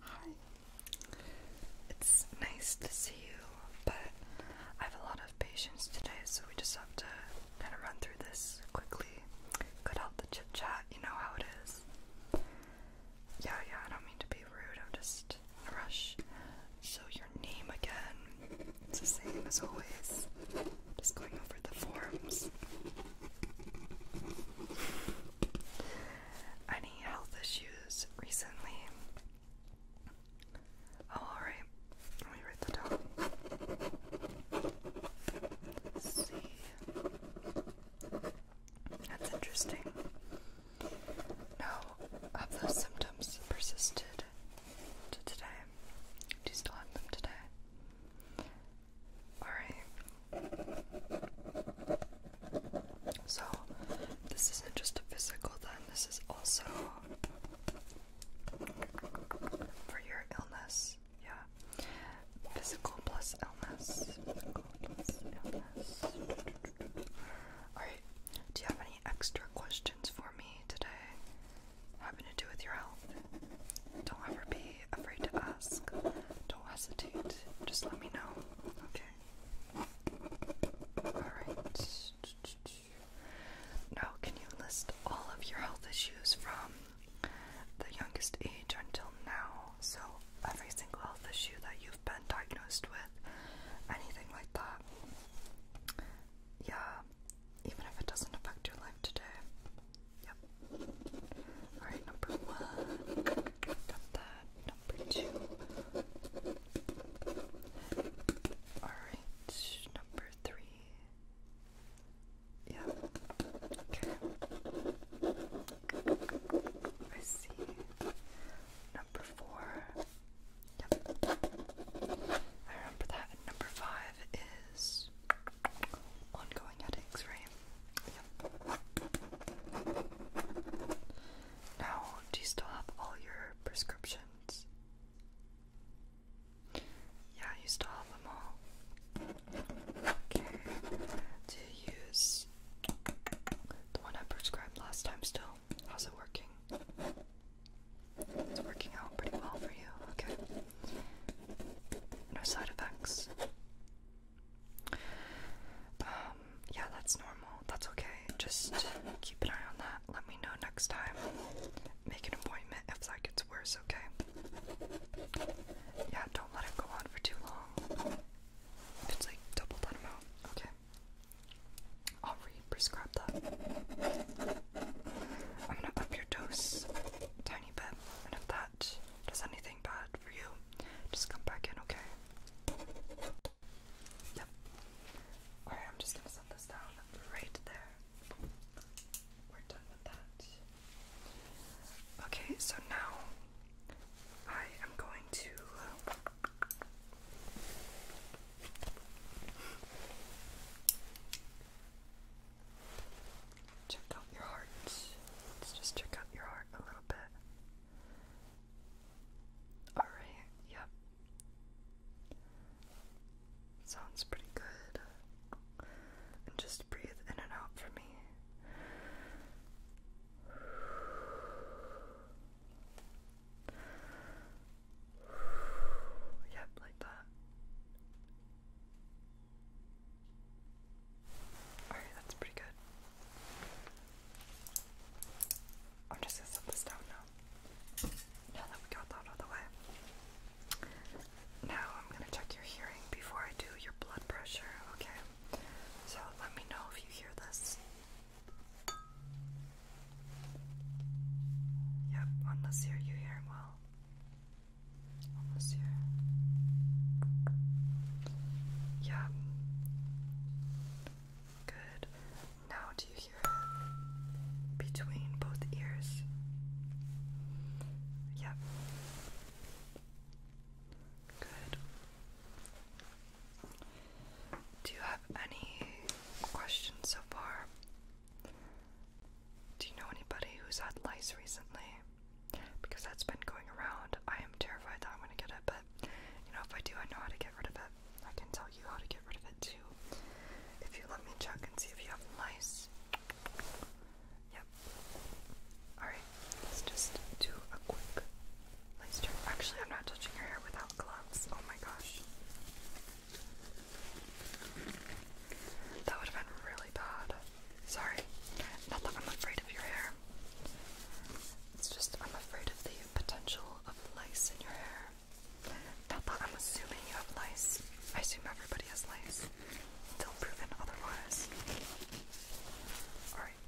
Hi. It's nice to see you, but I have a lot of patients today, so we just have to kind of run through this quickly. Cut out chit chat, you know how it is. Yeah, yeah, I don't mean to be rude, I'm just in a rush. So, your name again, it's the same as always. Just going the forms. Any health issues recently? Oh, alright. Let me write that down. see. That's interesting. No, of those symptoms persisted to today. Do you still have them today? Alright. So, this isn't just a physical, then, this is also for your illness. Yeah. Physical plus illness. Alright. Do you have any extra questions for me today? having to do with your health. Don't ever be afraid to ask. Don't hesitate. Just let me know. Okay. Alright. Now, can you list all of your health issues from the youngest age until now? So, every single health issue that you've been diagnosed with, anything like that. Yeah, even if it doesn't affect your life today. Yep. Alright, number one. Got that. Number two. Alright, number three. Yeah. Okay. I see. Number four. Yep. I remember that. number five is ongoing headaches, right? Yep. Now, do you still have all your prescriptions? Yeah, you still have them all. Okay. Do use the one I prescribed last time still? How's it working? It's working out pretty well for you, okay? No side effects. Um, yeah, that's normal. That's okay. Just keep an eye on that. Let me know next time. Make an appointment if that gets worse, okay? Yeah, don't let it go on for too long. If it's like double that amount, okay? I'll re-prescribe that. I'm gonna up your dose tiny bit, and if that does anything bad for you, just come back in, okay? Yep. Alright, I'm just gonna set this down right there. We're done with that. Okay, so now I am going to. Check out your heart. Let's just check out your heart a little bit. Alright, yep. Sounds pretty good. And just breathe in and out for me. Yep, like that. Alright, that's pretty good. I'm just gonna set this down now. Now that we got that out of the way. Now I'm gonna check your hearing before I do your blood pressure, okay? So let me know if you hear this. Yep, on you hear well. On this Good. Now do you hear between both ears? Yep. Good. Do you have any questions so far? Do you know anybody who's had lice recently? Because that's been going around. I am terrified that I'm going to get it, but you know, if I do, I know how to get rid of it. I can tell you how to get rid of it too. If you let me check and see if you have lice. Yep. Alright, let's just do a quick lice check. Actually, I'm not touching your hair without gloves. Oh my gosh. That would have been really bad. Sorry. Not that I'm afraid of your hair. It's just I'm afraid of the potential of lice in your hair. Not that I'm assuming you have lice. I assume everybody has lice. Until proven otherwise. Alright.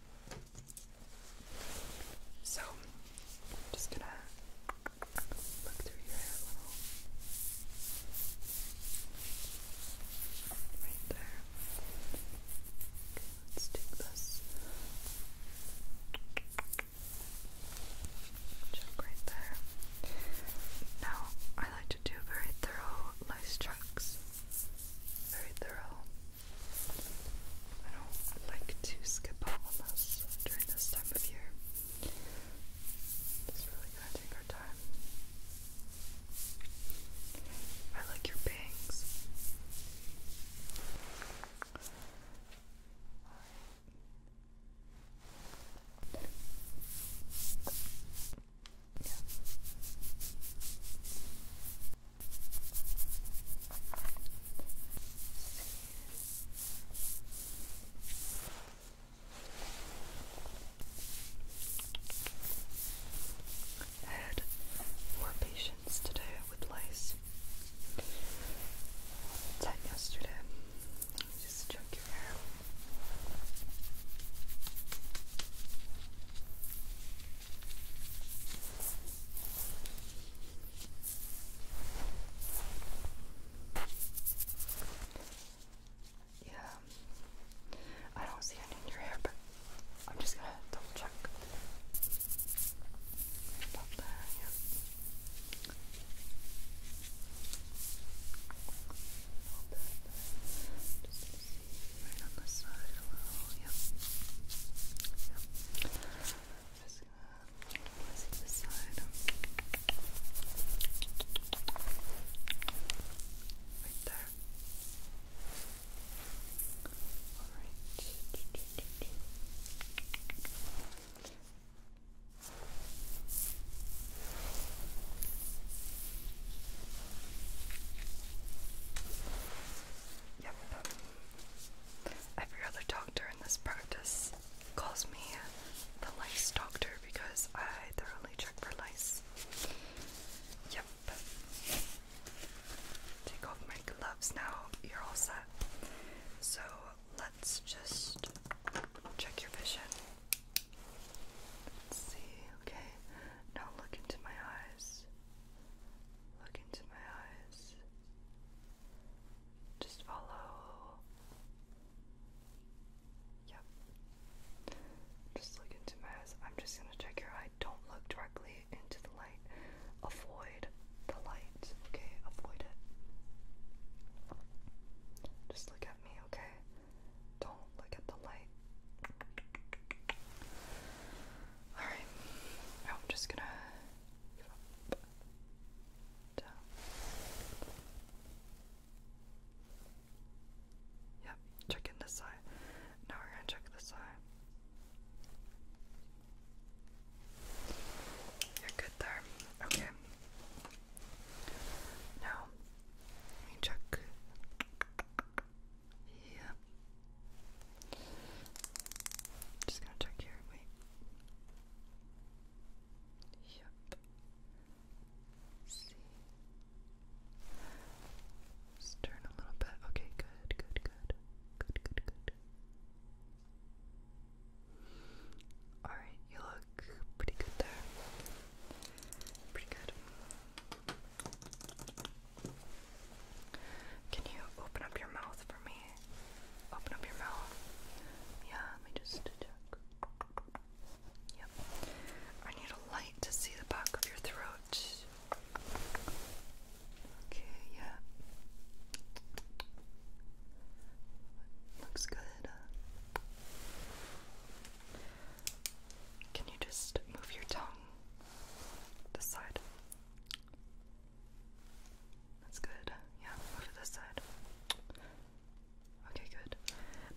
So, i just gonna look through your hair a little. Right there. let's do this. Check right there. Now, I like to do very thorough lice checks. Very thorough. I don't like to skip out during this time of year. It's really gonna take time. I like your bangs. I had more patients today with lice than yesterday. Just check your hair. Yeah. I don't see any in your hair, but I'm just gonna double check. Just to see. Right on the side a little. Yep. Yep. Just gonna place it this side. Right there. Alright. Yep. Every other doctor in this practice calls me the lice doctor because I thoroughly check for lice. Yep. Take off my gloves now. You're all set. So let's just check your vision. Let's see. Okay. Now look into my eyes. Look into my eyes. Just follow. Yep. Just look into my eyes. I'm just gonna check your eye. Don't look directly into the light. Avoid the light. Okay, avoid it. Just look at me, okay? Don't look at the light. Alright, now oh, I'm just gonna Yep, check in this side. Now we're gonna check this side. You're good there. Okay. Now, let me check Yep. Just gonna check here. Wait. Yep. See. Just turn a little bit. Okay, good, good, good. Good, good, good. Alright, you look pretty good there. Pretty good. Can you open up your mouth for me? Open up your mouth. Yeah, let me just check. Yep. I need a light to see the back of your throat. Okay, yeah. Looks good. Uh. Can you just move your tongue this side? That's good. Yeah, move this side. Okay, good.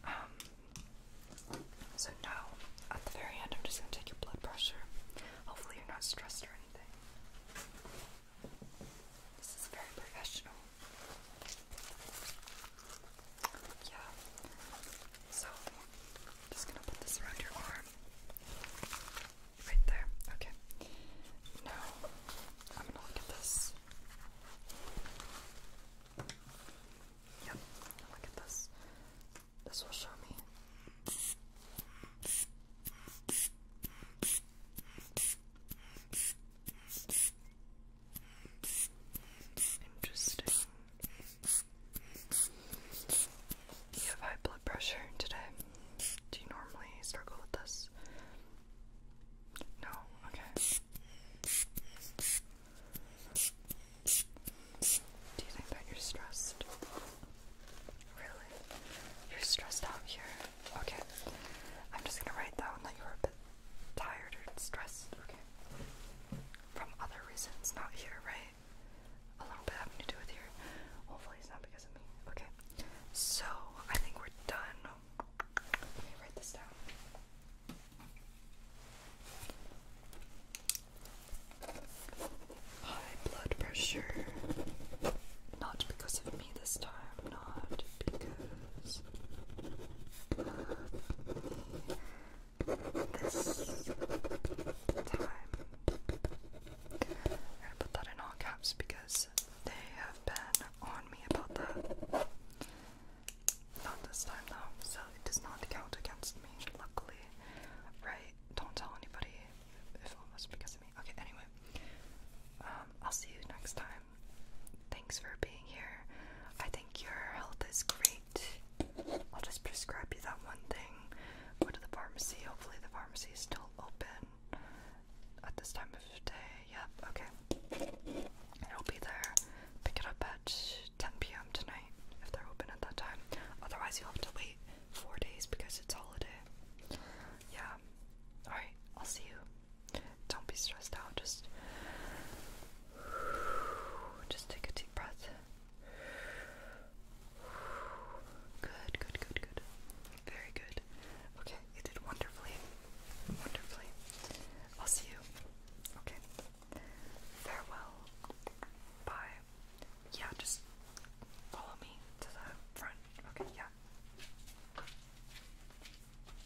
Um, so now, at the very end, I'm just gonna take your blood pressure. Hopefully, you're not stressed or anything. This is very professional. Yeah. So, just gonna put this around your arm. Right there. Okay. Now, I'm gonna look at this. Yep. Look at this. This will show me. Interesting. You have high blood pressure today. Do you normally struggle with this? No? Okay. Do you think that you're stressed? Really? You're stressed out here? Okay. I'm just gonna write that you're a tired or stressed. Okay. From other reasons, not here, right? A little bit having to do with here. Hopefully, it's not because of me. Okay. So, I think we're done. Let me write this down. High blood pressure. Not because of me this time because this time. I'm gonna put that in all caps because they have been on me about that. Not this time though, so it does not count against me, luckily. Right? Don't tell anybody if it was because of me. Okay, anyway. Um, I'll see you next time. Thanks for being here. I think your health is great. I'll just prescribe you that one thing. Go to the pharmacy. Hopefully, the pharmacy is still open at this time of day. Yep, okay. It'll be there. Pick it up at 10 p.m. tonight if they're open at that time. Otherwise, you'll have to wait four days because it's holiday. Yeah. Alright, I'll see you. Don't be stressed out. Just, just take a deep breath. Good, good, good, good. Very good. Okay, you did wonderfully. Wonderfully. I'll see you. Okay. Farewell. Bye. Yeah, just follow me to the front. Okay, yeah.